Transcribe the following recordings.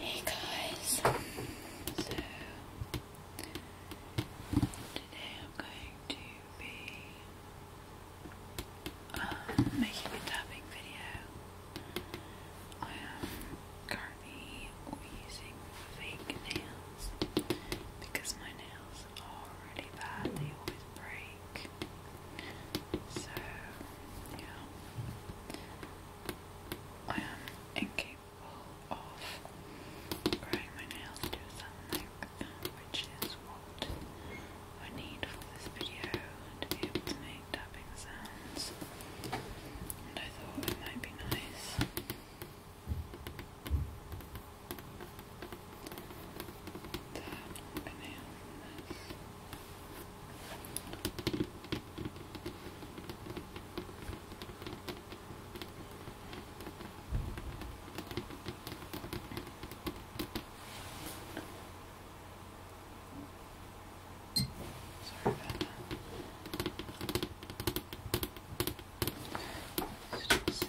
Hey guys, so today I'm going to be uh, making a tapping video. I am currently using fake nails because my nails are really bad, they always break week. So, yeah. I am incapable of growing my nails to a which is what I need for this video to be able to make tapping sounds. And I thought it might be nice. That I'm going to Sorry about that. Let's just see.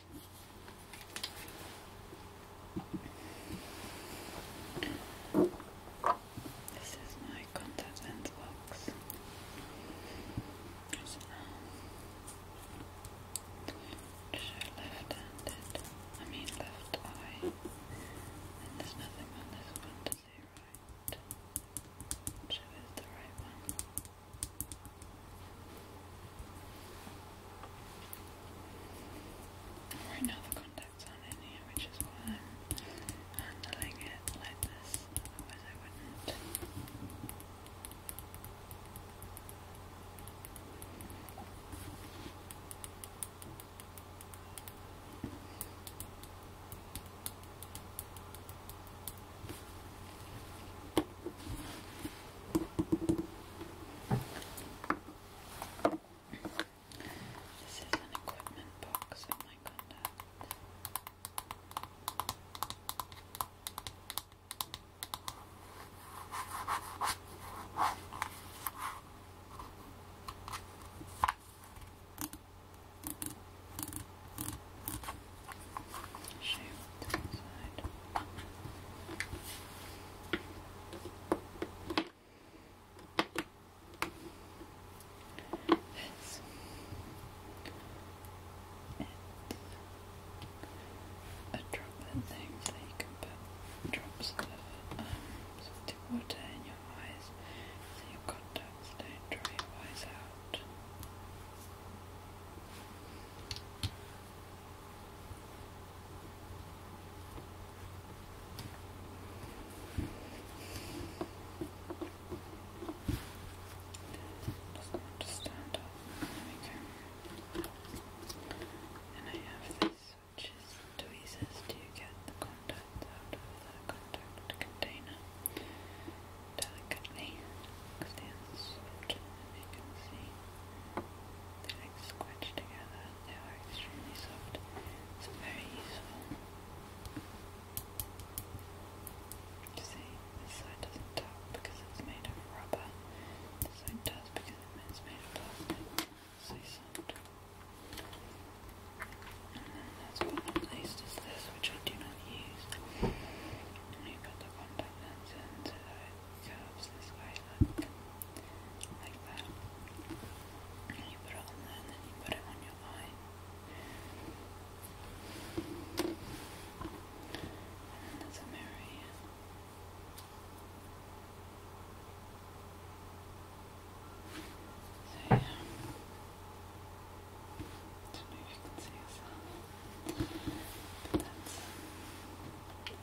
This is my contact lens box. So, left-handed, um, I mean left eye, and there's nothing on this one to say right. Show is the right one. Right now contacts not in here, which is why I'm handling it like this, otherwise I wouldn't. This is an equipment box of oh my contact. Shoot, side. This. a drop of things that you drops of um, water in your eyes so your contacts don't dry your eyes out does stand up. There we go. And I have this, which is tweezers to get the contacts out of the contact container delicately, because they you see. The legs squish together. They are extremely soft. It's very useful. see, this side doesn't tap because it's made of rubber. This side does because it's made of plastic. So soft. And then that's what I placed this, which I do not use. And you the contact lens in curves this way, like, that. And you put it on and then you put it on your eye. And then a mirror here. don't know if you can see yourself. that's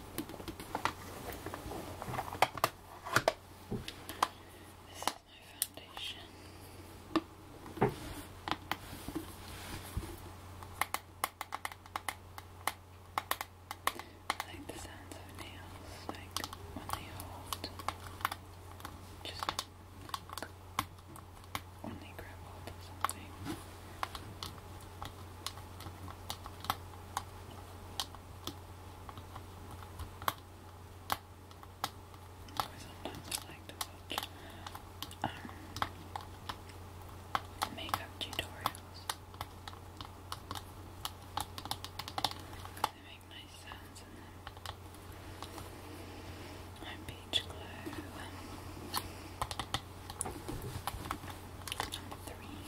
This is my foundation. I like the sounds of nails, like when they hold, just when they grab hold something. Sometimes I like to watch makeup tutorials. They make nice sounds and then my beach glow. Number three.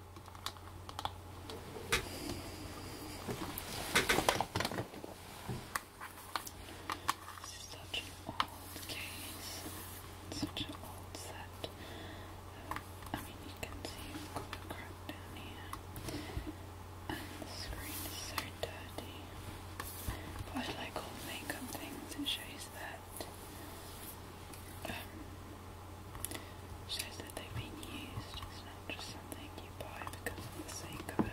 This such an old case, such an old set. I mean, you can see it's got down here, and the screen is so dirty. But like all makeup things, it shows that. Um, Shows that they've been used, it's not just something you buy because of the sake of it.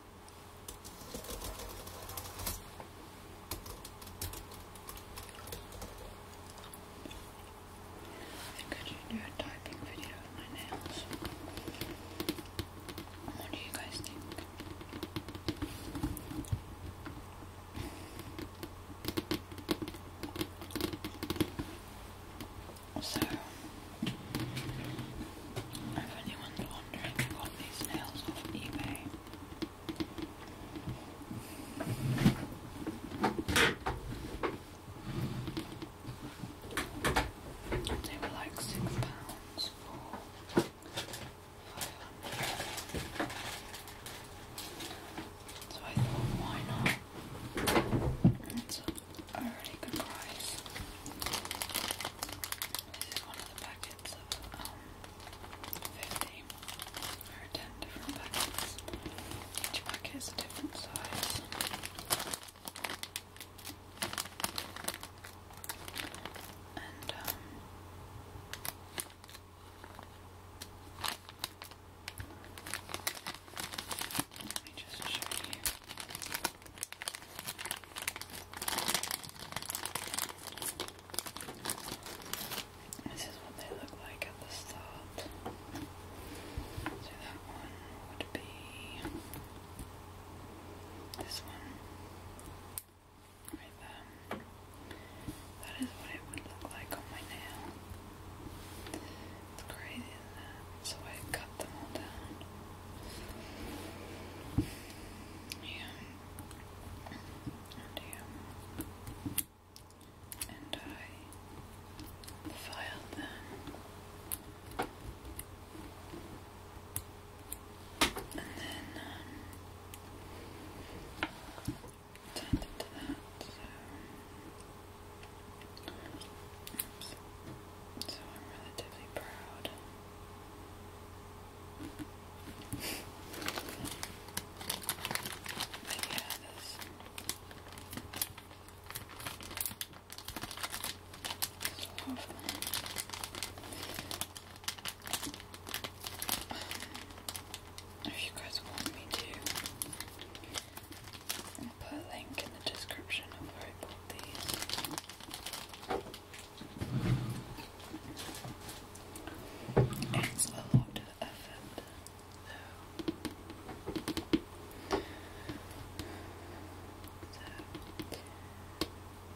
And could you do a typing video of my nails? What do you guys think? So if anyone's wondering, I got these nails off eBay. They were like six pounds for five hundred. So I thought, why not? It's a really good price. This is one of the packets of um, 50 or 10 different packets. Each packet is a different size. And um, let me just show you. This is what they look like at the start. So that one would be this one right there. That is what it would look like on my nail. It's crazy, is So I cut them all down. Yeah. And yeah. And I filed them. And then um tended to that, so Oops. so I'm relatively proud Maybe If you guys want me to, put a link in the description of where I bought these. It's a lot of effort, So,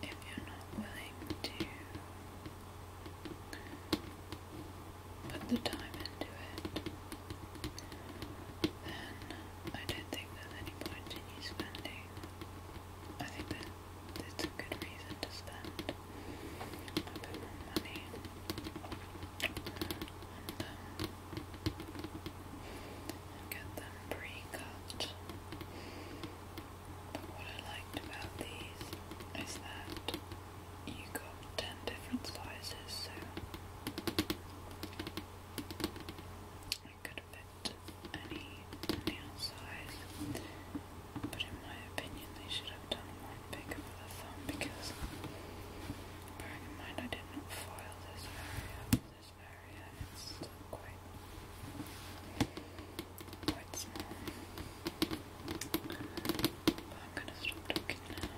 if you're not willing to put the time into it, then I don't think there's any point in you spending I think that it's a good reason to spend a bit more money and um, get them pre-cut. But what I liked about these is that you got ten different sizes, so I could fit any nail size, but in my opinion, they should have done one bigger for the thumb because, bearing in mind, I did not foil this area, this area, and still quite, quite small. But I'm gonna stop talking now.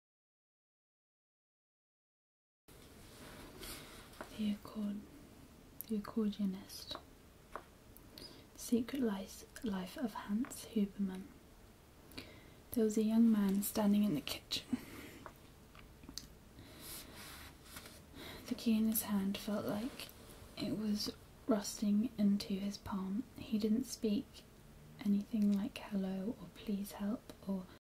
The accordionist. Secret life, life of Hans Huberman. There was a young man standing in the kitchen. The key in his hand felt like it was rusting into his palm. He didn't speak anything like hello or please help or